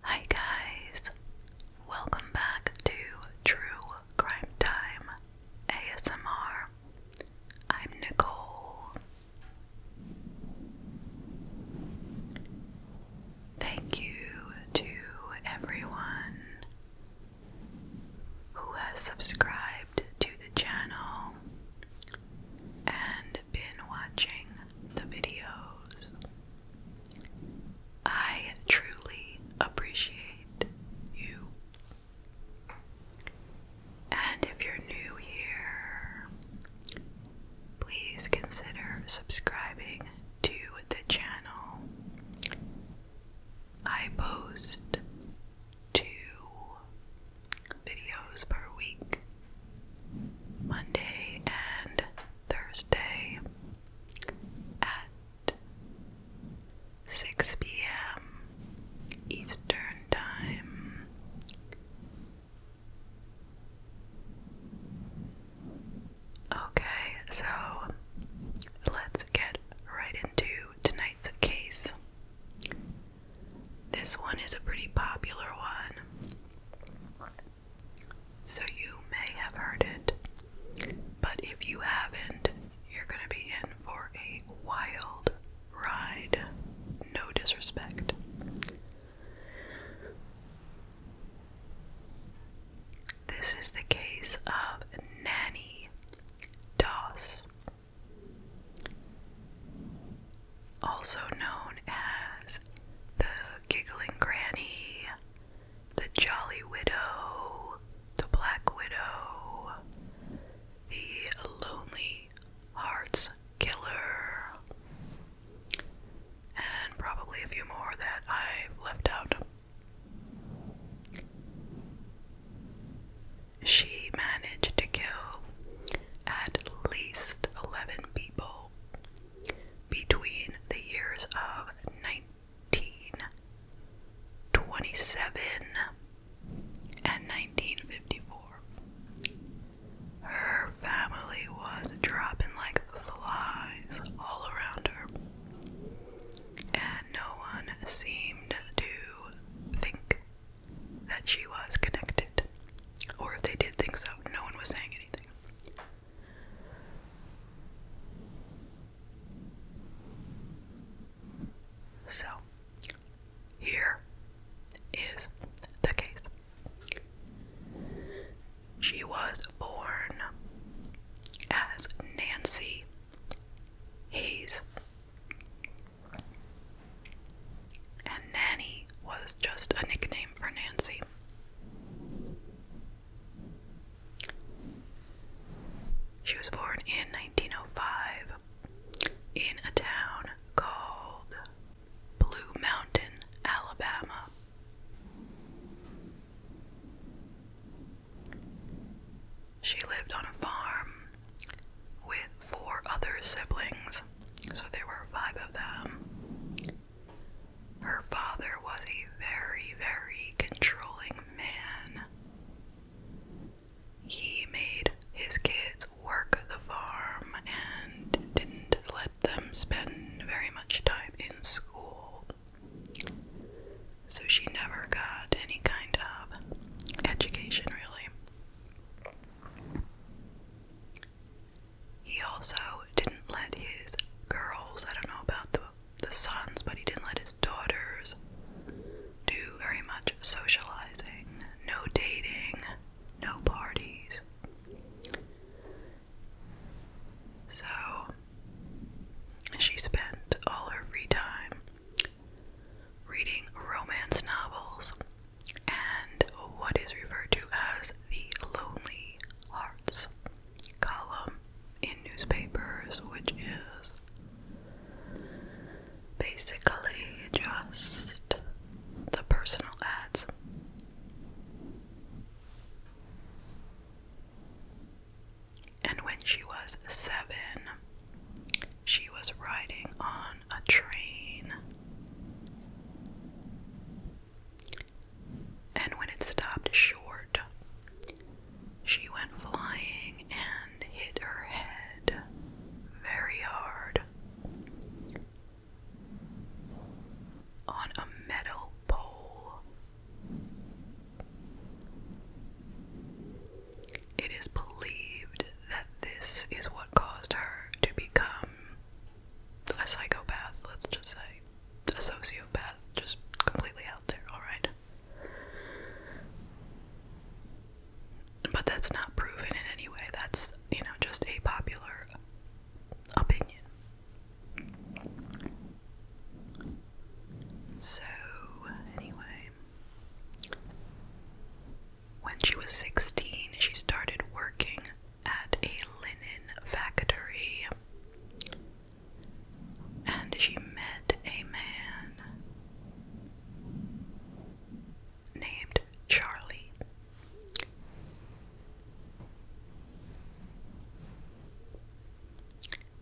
Hi guys, welcome back to True Crime Time ASMR. I'm Nicole. Thank you to everyone who has subscribed to the channel and been watching the videos. I truly appreciate you. And if you're new here, please consider subscribing to the channel. I post two videos per week Monday and Thursday at 6 p.m. Eastern Time. Okay, so let's get right into tonight's case. This one is a pretty popular one. So you may have heard it, but if you haven't, you're going to be in for a wild ride. No disrespect. This is the case of Nanny Doss also known as the Giggling Granny, the Jolly Widow, the Black Widow, the Lonely Hearts Killer, and probably a few more that I've left out. She managed to kill at least 11 people between the years of 1927 and 1954. Her family was dropping like flies all around her, and no one seemed to think that she was connected. Or if they did think so, no one was saying anything. So, here is the case. She was born as Nancy Hayes. And Nanny was just a nickname for Nancy. She was born in 1905 in a town called Blue Mountain, Alabama. She lived on a farm with four other siblings, so there were five of them. Her father was a very, very controlling man. He made his kids work the farm and didn't let them spend very much time in school. So she never got any kind of education, really. He also didn't let his girls, I don't know about the, sons, but he didn't let his daughters do very much socializing, no dating, no parties. So she spent all her free time reading romance novels and what is referred to as the Lonely Hearts column in newspapers, which is basically just the personal ads. And when she was seven, she was riding on a train. And when it stopped short, she went flying and hit her head very hard on a metal pole. It is believed that this is what caused her to become a psychopath, let's just say, a sociopath, just completely out there, alright? But that's not proven in any way, that's, you know, just a popular opinion. So, anyway, when she was 16, she started working at a linen factory and she met a man named Charlie.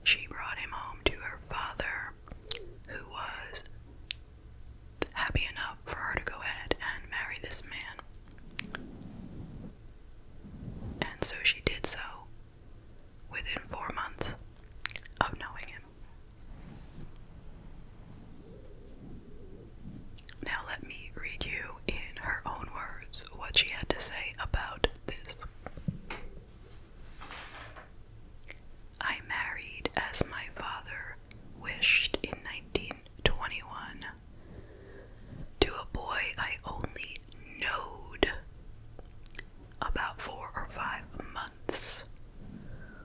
She brought him home to her father, who was happy enough for her to go ahead and marry this man. And so she did so within four months of knowing him. Now, let me read you in her own words what she had to say about this. I married as my father wished in 19 21. To a boy I only knowed about four or five months,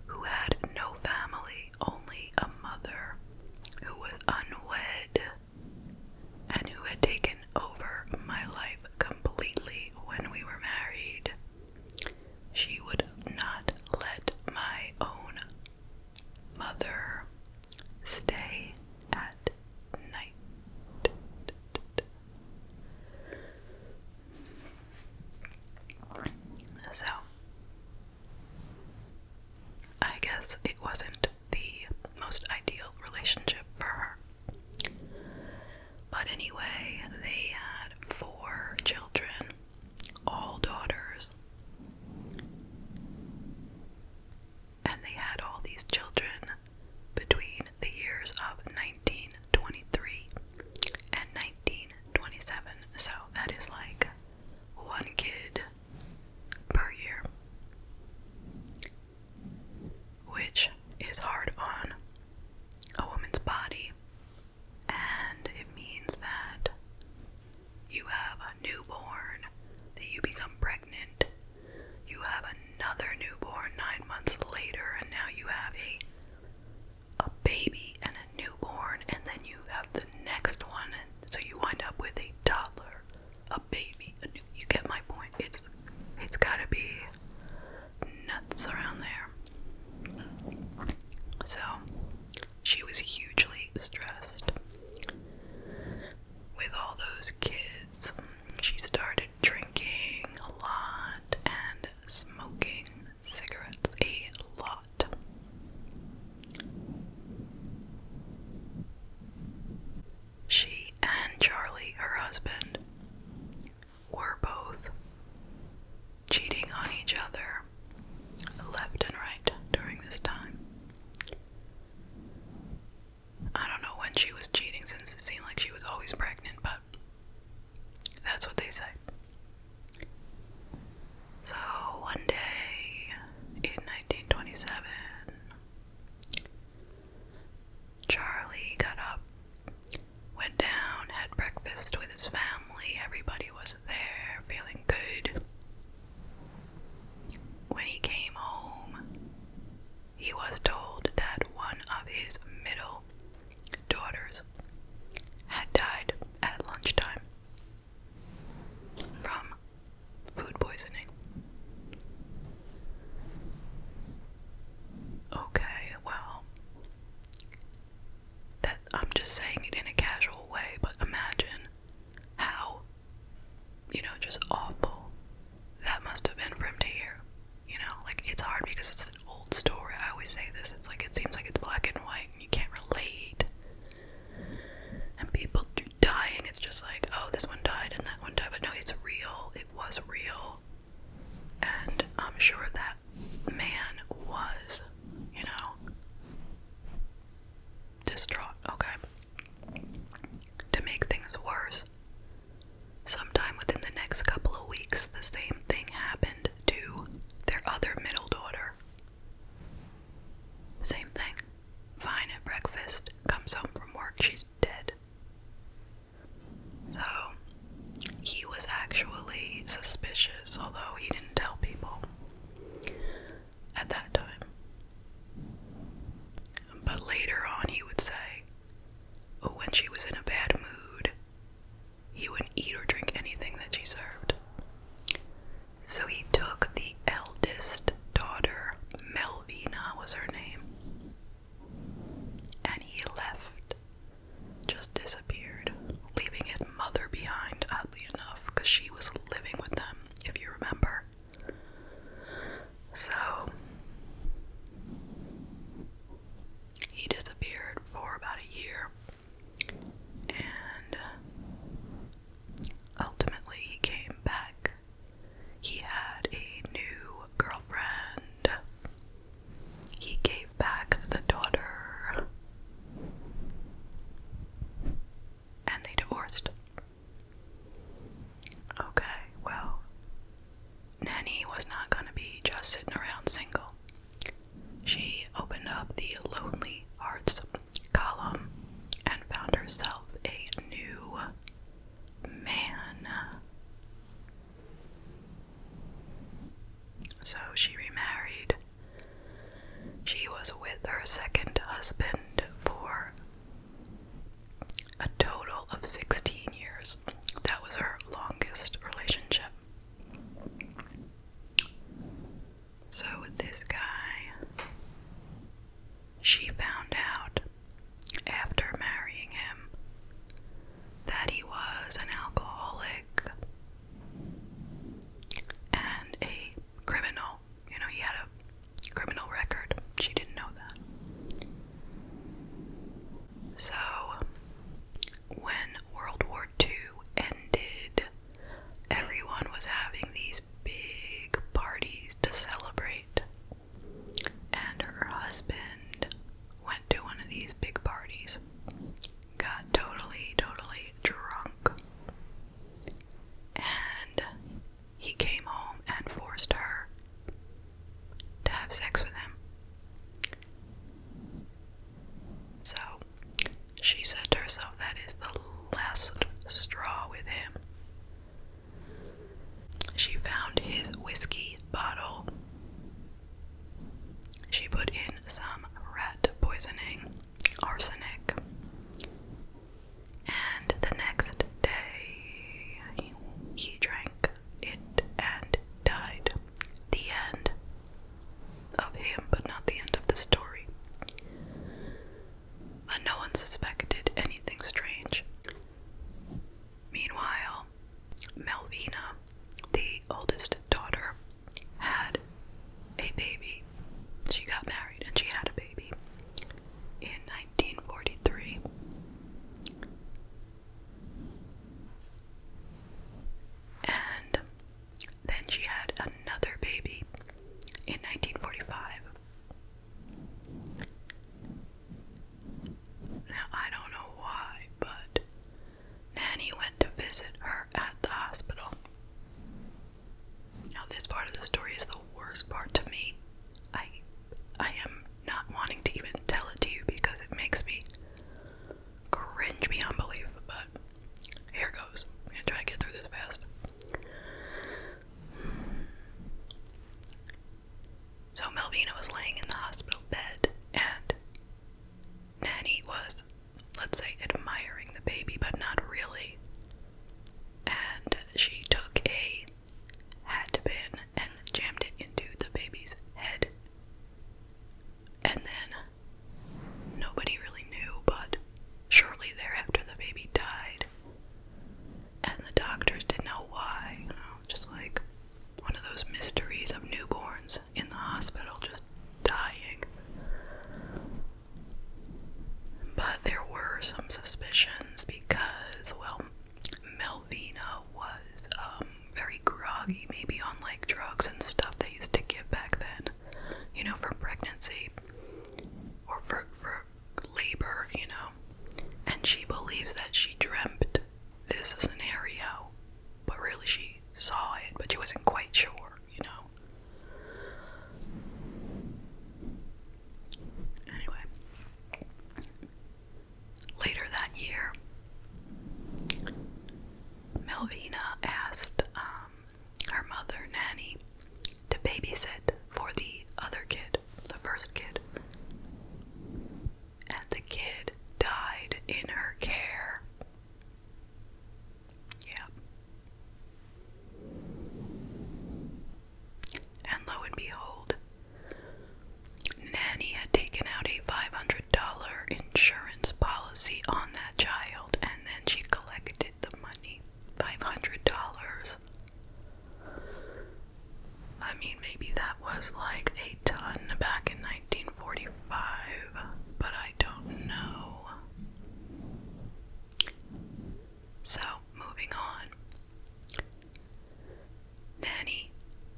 who had no family, only a mother who was unwed and who had taken over my life completely when we were married. She would not let my own Mother, stay at night. So, I guess it wasn't the most ideal relationship for her. But anyway, they had four children all daughters. And they had all these children between the years of 1923 and 1927. So that is like one kid per year, which is hard on a woman's body and it means that you have a newborn, that you become pregnant, you have another newborn nine months later, and now you have a a baby and a newborn, and then you have the next one, and so you wind up with a toddler, a baby. A new, you get my point. It's it's gotta be nuts around there. So she was hugely stressed. With all those kids, she started drinking a lot and smoking cigarettes a lot. She and Charlie, her husband, were both cheating on each other left and right during this time. I don't know when she was cheating since it seemed like she was always pregnant, but that's what they say. So one day in 1927, Charlie got up, went down, had breakfast with his family. Everybody was there feeling good. When he came home, he was told that one of his middle daughters had died at lunchtime from food poisoning. Okay, well, that I'm just saying it in a casual way, but imagine how, you know, just awful that must have been for him to hear. You know, like it's hard because it's an old story. I always say this. It's like it seems like it's black and white and you can't relate. And people do dying, it's just like, oh, this one died and that one died. But no, it's real. It was real. And I'm sure that man was you know, distraught. Okay. To make things worse, sometime within the next couple of weeks, the same thing happened to their other middle daughter. Same thing. Fine at breakfast, comes home from work, she's dead. So, he was actually suspicious, although he didn't and tell people at that time. But later on, he would say, oh, when she was in a bad mood, he wouldn't eat or drink anything that she served. So he took the eldest daughter, Melvina was her name, and he left just disappeared, leaving his mother behind, oddly enough, because she was living with them, if you remember. So, he disappeared for about a year, and ultimately he came back. He had a new girlfriend. He gave back the daughter. And they divorced. Okay, well, Nanny was not going to be just sitting around single. She opened up the Lonely Hearts column and found herself a new man. So she remarried. She was with her second husband for a total of 16 years. That was her longest relationship. So, with this guy, she found out after marrying him that he was an alcoholic and a criminal. You know, he had a criminal record. She didn't know that. So, when World War II ended, everyone was having these big parties to celebrate. And her husband went to one of these big parties got totally, totally drunk. And he came home and forced her to have sex with him. So she said to herself, that is the last straw with him. She found his whiskey bottle she put in some rat poisoning, arsenic. And the next day, he, drank it and died. The end of him, but not the end of the story. But no one suspected anything strange. Meanwhile, Melvina the oldest daughter had a baby. She got married and she had a baby in 1943. And then she had another baby in 1945. Now, I don't know why, but Nanny went to visit her at the hospital. Now, this part of the story is the worst part to me. I, I am not wanting to even tell it to you because it makes me cringe beyond belief. But here goes. I'm gonna try to get through this fast. So Melvina was laying in the hospital bed, and Nanny was, let's say, admiring the baby, but not really. And she took a hat pin and jammed it into the baby's head. And then nobody really knew, but shortly thereafter, the baby died. And the doctors didn't know why, just like one of those mysteries of newborns in the hospital just dying. But there were some suspicions because, well, Melvina was um, very groggy, maybe on like drugs and stuff they used to give back then, you know, for pregnancy or for, for labor, you know. And she believes that she dreamt this scenario, but really she saw it, but she wasn't quite sure, you know. Anyway, later that year, Melvina asked um, her mother, Nanny, to babysit for the other kid, the first kid and the kid died in her care. Yep. And lo and behold, Nanny had taken out a $500 insurance policy on that child, and then she collected the money. $500. I mean, maybe that was like a ton back in 1945, but I don't know. So, moving on. Nanny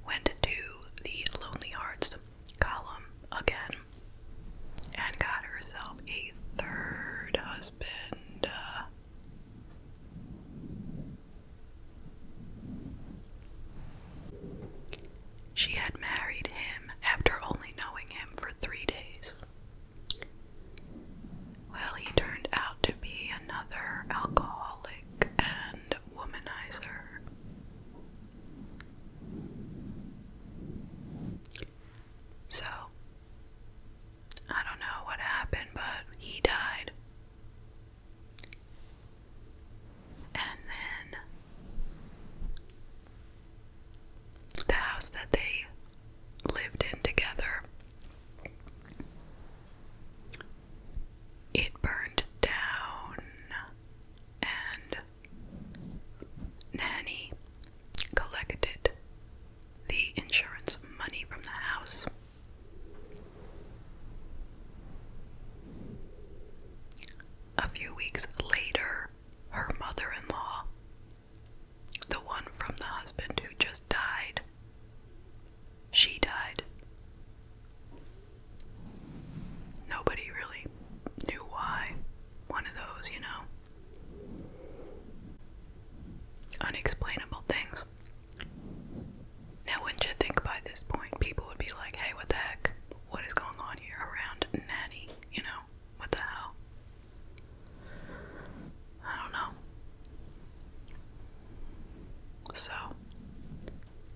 went to the Lonely Hearts column again and got herself a third husband. She had married him after only knowing him for three days. Well, he turned out to be another alcoholic and womanizer. So, I don't know what happened, but he died and then the house that they lived in together. It burned down, and Nanny collected the insurance money from the house a few weeks later, her mother in law, the one from the husband who just died, she died. Nobody really knew why. One of those, you know. Unexplainable things. Now, wouldn't you think by this point people would be like, hey, what the heck? What is going on here around Natty? You know, what the hell? I don't know. So,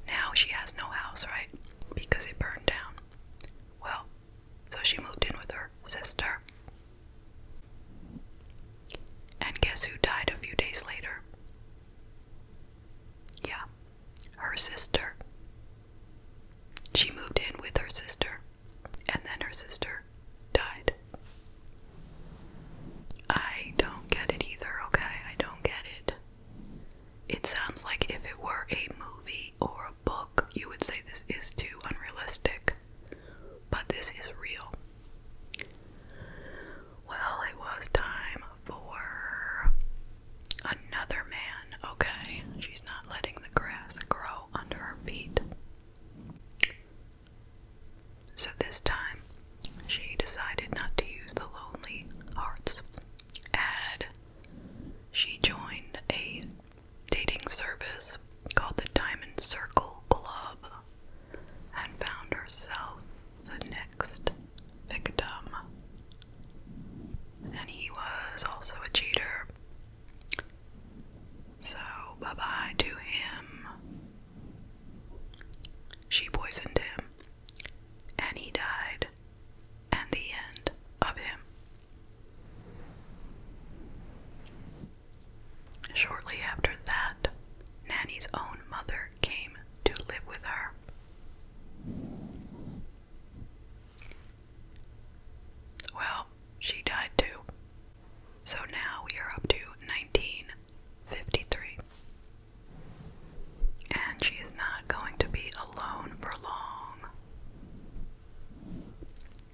now she has no house, right? Because it burned down. Well, so she moved in with her sister. And guess who died a few days later? Yeah, her sister. She moved in with her sister, and then her sister died. I don't get it either, okay? I don't get it. It sounds like if it were a movie or a book, you would say this is too unrealistic. But this is real. Well, it was time for another man, okay? She's not letting the grass grow under her feet. So this time, she decided not to use the Lonely Hearts ad. She joined a dating service called the Diamond Circle Club and found herself the next victim. And he was also a cheater. So, bye bye to him. She poisoned him, and he died. And the end of him. Shortly after that, Nanny's own mother came to live with her. Well, she died too. So now we are up to 1953. And she is not going to be alone for long.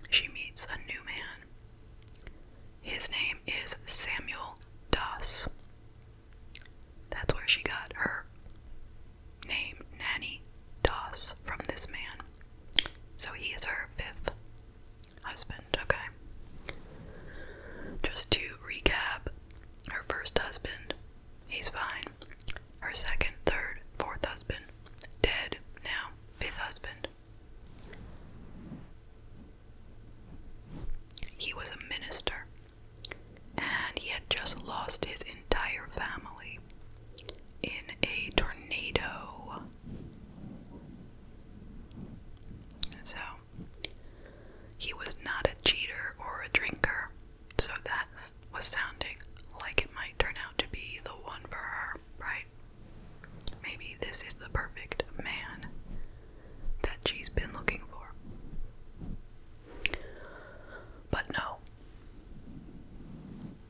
She meets a new man. His name is Samuel Doss. That's where she got her name, Nanny Doss, from this man. So he is her fifth husband, okay? Just to recap, her first husband, he's fine. Her second, third, fourth husband, dead now, fifth husband. He was a minister and he had just lost his entire family in a tornado. So, he was not a cheater or a drinker, so that was sounding like it might turn out to be the one for her, right? Maybe this is the perfect man that she's been looking for. But no,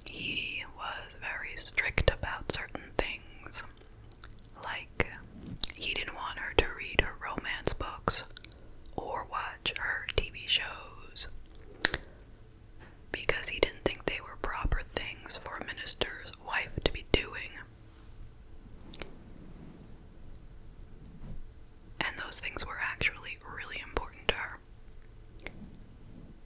he was very strict about certain things. Like, he didn't want her to read her romance books or watch her TV shows because he didn't think they were proper things for a minister's wife to be doing. And those things were actually really important to her.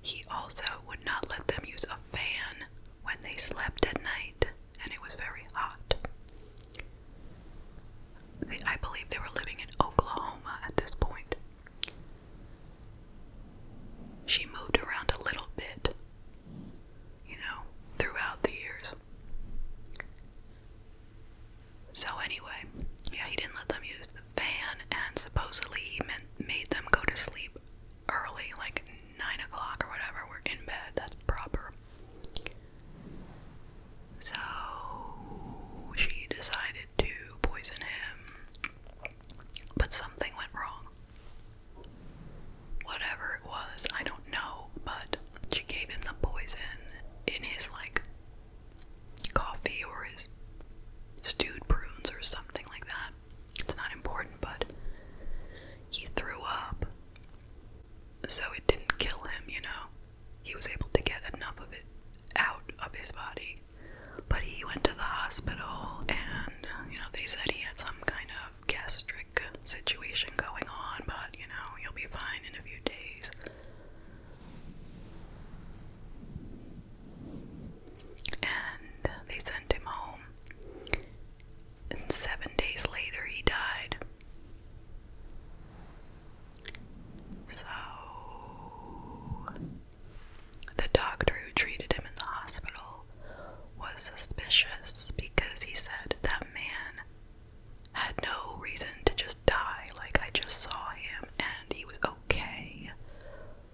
He also would not let them use a fan when they slept at night, and it was very hot. I believe they were living in Oklahoma at this point. She moved around a little bit, you know, throughout the years. So, anyway, yeah, he didn't let them use the van, and supposedly he made them go to sleep early, like 9 o'clock or whatever. We're in bed, that's proper. So, she decided to poison him, but something went wrong whatever it was, I don't know, but she gave him the poison in his like coffee or his stewed prunes or something like that. It's not important, but he threw up. So it didn't kill him, you know. He was able to get enough of it out of his body. But he went to the hospital and, you know, they said he had some kind of gastric situation going on, but you know, you'll be fine in a few days. And they sent him home. seven days later, he died. So, the doctor who treated him in the hospital was suspicious because he said that man had no reason to just die. Like, I just saw him and he was okay.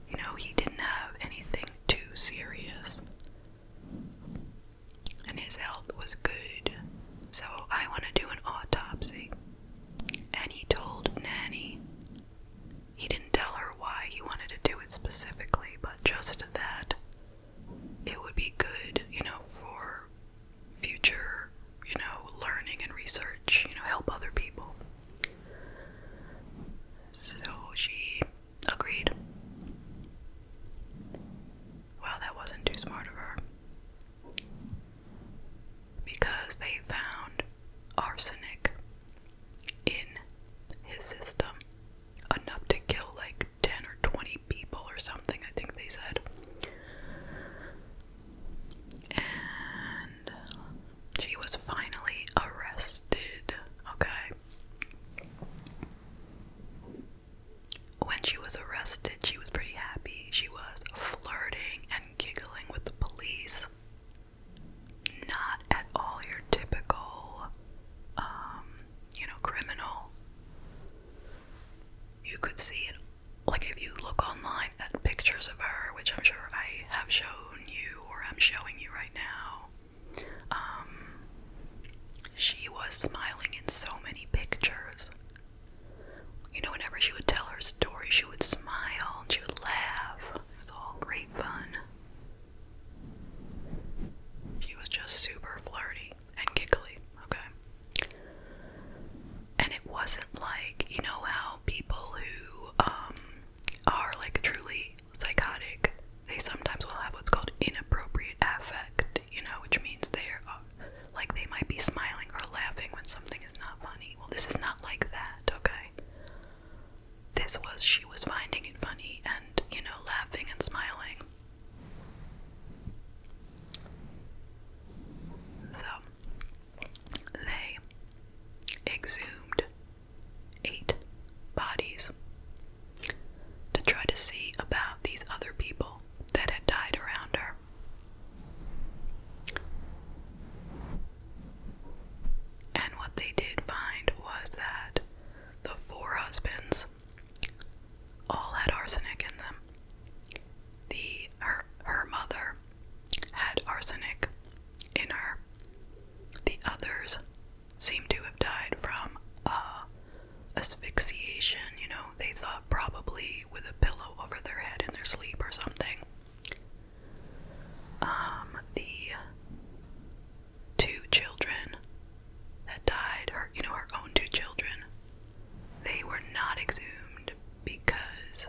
You know, he didn't have anything too serious. And his health was good. So, I want to do an autopsy. And he told Nanny. He didn't tell her why he wanted to do it specifically, but just that it would be good, you know, for future, you know, learning and research, you know, help other people. So she agreed. Well, that wasn't too smart of her. Because they found arsenic in his system enough to kill like 10 or 20 people or something, I think they said. And she was finally arrested, okay? When she was arrested, she was pretty happy. She was flirting and giggling with the police. Not at all your typical um, you know, criminal. You could see it, like if you look online at pictures of her, which I'm sure I have shown you or I'm showing you right now. Um, she was smiling in so many pictures. You know, whenever she would tell her story, she would smile and she would laugh. It was all great fun. She was just super flirty and giggly, okay? And it wasn't like, you know, how people who um, are like truly psychotic, they sometimes will have what's called inappropriate affect, you know, which means they're like they might be smiling or laughing when something is not funny. Well, this is not like that, okay? This was, she was finding it funny and, you know, laughing and smiling. So they exhumed eight bodies to try to see about these other people that had died around her. And what they did find was that the four husbands all had arsenic in them. The her her mother had arsenic in her. The others seem to have died from uh, asphyxiation. You know, they thought probably with a pillow over their head in their sleep or something. Um, the two children that died, her you know, our own two children. They were not exhumed because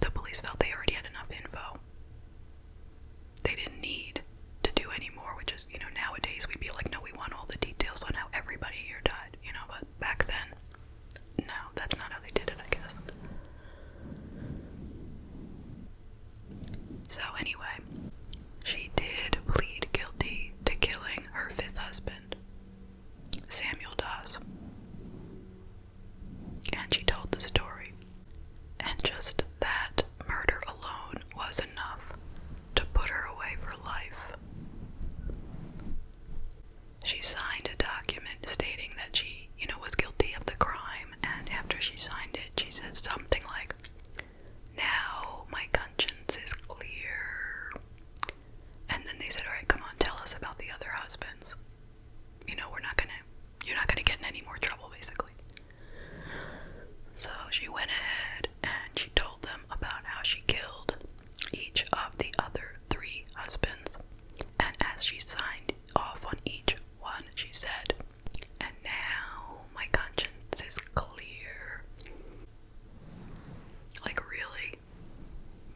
the police felt they already had enough info. They didn't need to do any more, which is, you know, nowadays we'd be like, no, we want all the details on how everybody here died, you know, but back then, no, that's not how they did it, I guess. So, anyway, she did plead guilty to killing her fifth husband, Samuel Doss. And she told the story. And just that murder alone was enough to put her away for life. She signed a document stating that she, you know, was guilty of the crime and after she signed it, she said something like, Now my conscience is clear. And then they said, Alright, come on, tell us about the other husbands. You know, we're not gonna, you're not gonna get in any more trouble, basically. So she went ahead and she told them about how she killed each of the other three husbands. And as she signed off on each one, she said, and now my conscience is clear. Like, really?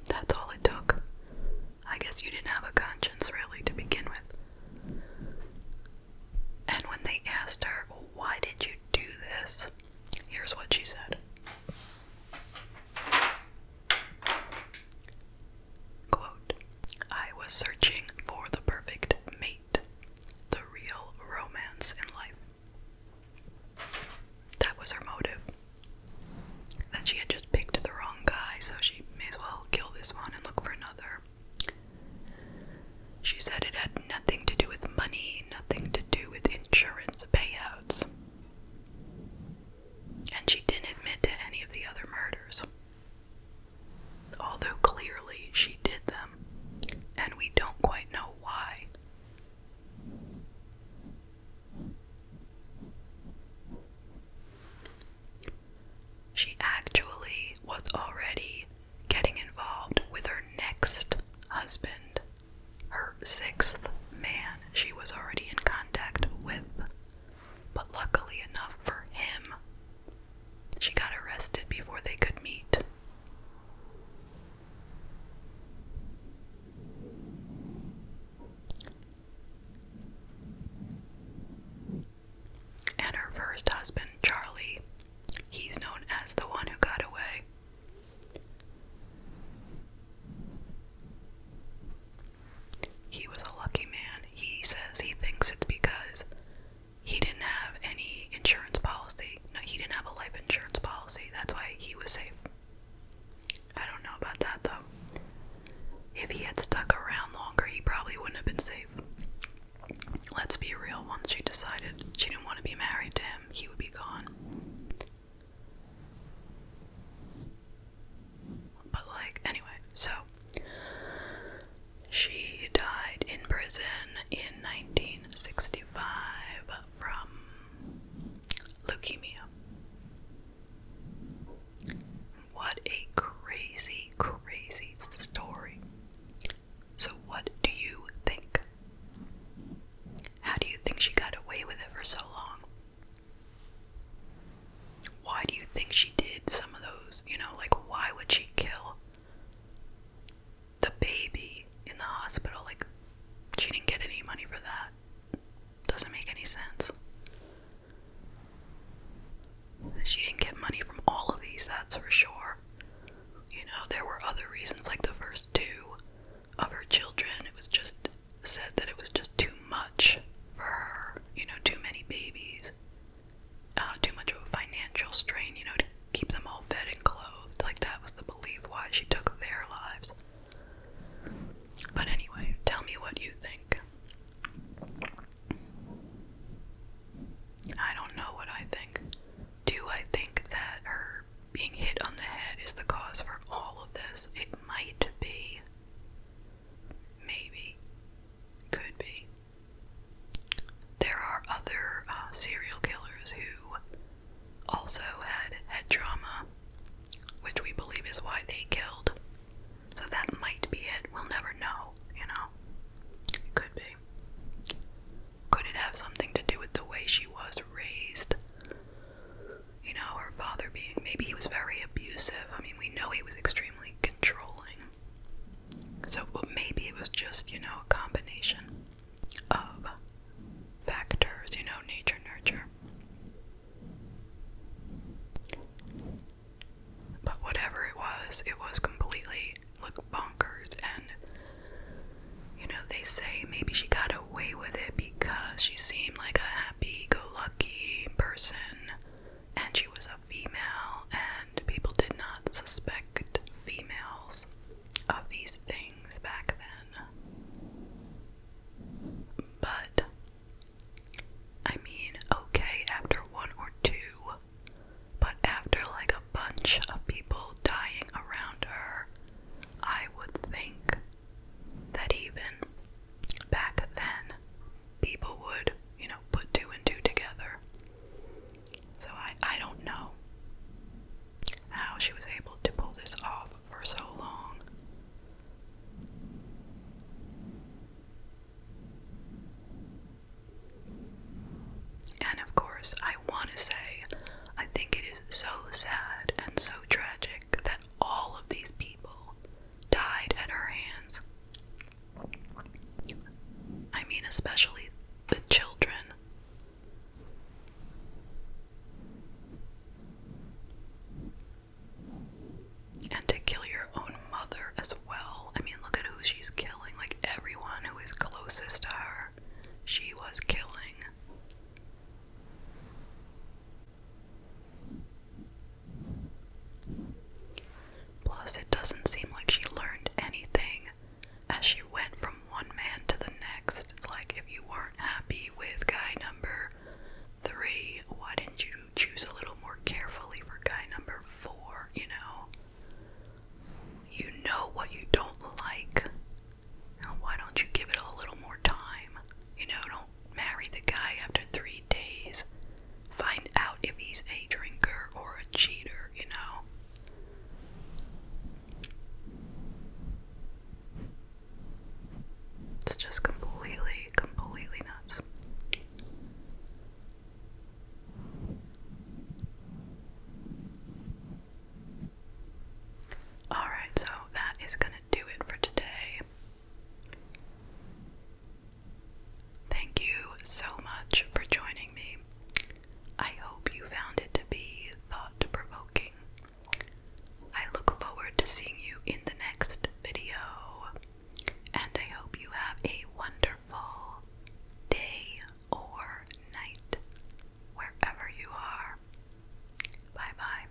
That's all it took. I guess you didn't have a conscience, really, to begin with. And when they asked her, Why did you do this? Here's what she said I was searching for the perfect mate, the real romance in life. That was her motive. That she had just picked the wrong guy, so she may as well kill this one and look for another. She said it had nothing to do with money, nothing to do with insurance payouts. And she didn't admit to any of the other murders although clearly she did them, and we don't quite know why. She actually was already getting involved with her next husband, her sixth man, she was already in contact with. But luckily enough for him, she got arrested before they could meet. And her first husband, Charlie, he's known as the one who got away. He was a lucky man. He says he thinks it's because he didn't have any insurance policy. No, he didn't have a life insurance policy. That's why he was safe. I don't know about that though. If he had stuck around longer, he probably wouldn't have been safe. Let's be real, once she decided she didn't want to be married to him, he would be gone. But, like, anyway, so she died in prison in 1965 from leukemia. What a crazy, crazy story. So, what do you think? How do you think she got away with it for so long? why do you think she did some of those? You know, like, why would she kill the baby in the hospital? Like, she didn't get any money for that. Doesn't make any sense. She didn't get money from all of these, that's for sure. You know, there were other reasons, like the first two of her children. It was just said that it was just too much for her, you know, too many babies. Uh, too much of a financial strain, you know, to keep them all fed and clothed. Like that was the belief why she took their lives. But anyway, tell me what you think. I don't know what I think. Do I think that her being hit on the head is the cause for all of this? It might be. Maybe. Could be. There are other uh, serial killers who also had head trauma, which we believe is why they killed. So that might be it. We'll never know, you know? could be. Could it have something to do with the way she was raised? You know, her father being. Maybe he was very abusive. I mean, we know he was extremely controlling. So maybe it was just, you know, a combination of factors, you know, nature, nurture. But whatever it was, it was completely like bonkers and you know, they say maybe she got away with it because she seemed like a happy go lucky person and she was a female, and people did not suspect females of these things back then. But, I mean, okay, after one or two, but after like a bunch of people dying around her, I would think that even back then people would, you know, put two and two together. So I, I don't know how she was able to pull this off for so long. And of course, I want to say, I think it is so sad and so tragic that all of these people died at her hands. I mean, especially the children. And to kill your own mother as well. I mean, look at who she's killing. Like, everyone who is closest to her, she was killing. Plus, it doesn't seem like she learned anything as she went from one man to the next. It's like if you weren't happy with guy number three, why didn't you choose a little more carefully for guy number four? You know, you know what you don't like. why don't you give it a little more time? You know, don't marry the guy after three days. Find out if he's a drinker or a cheater, you know. It's just completely, completely nuts. Alright, so that is gonna do it for today. Thank you so much for joining me. I hope you found it to be thought provoking. I look forward to seeing you in the next video, and I hope you have a wonderful day or night wherever you are. Bye bye.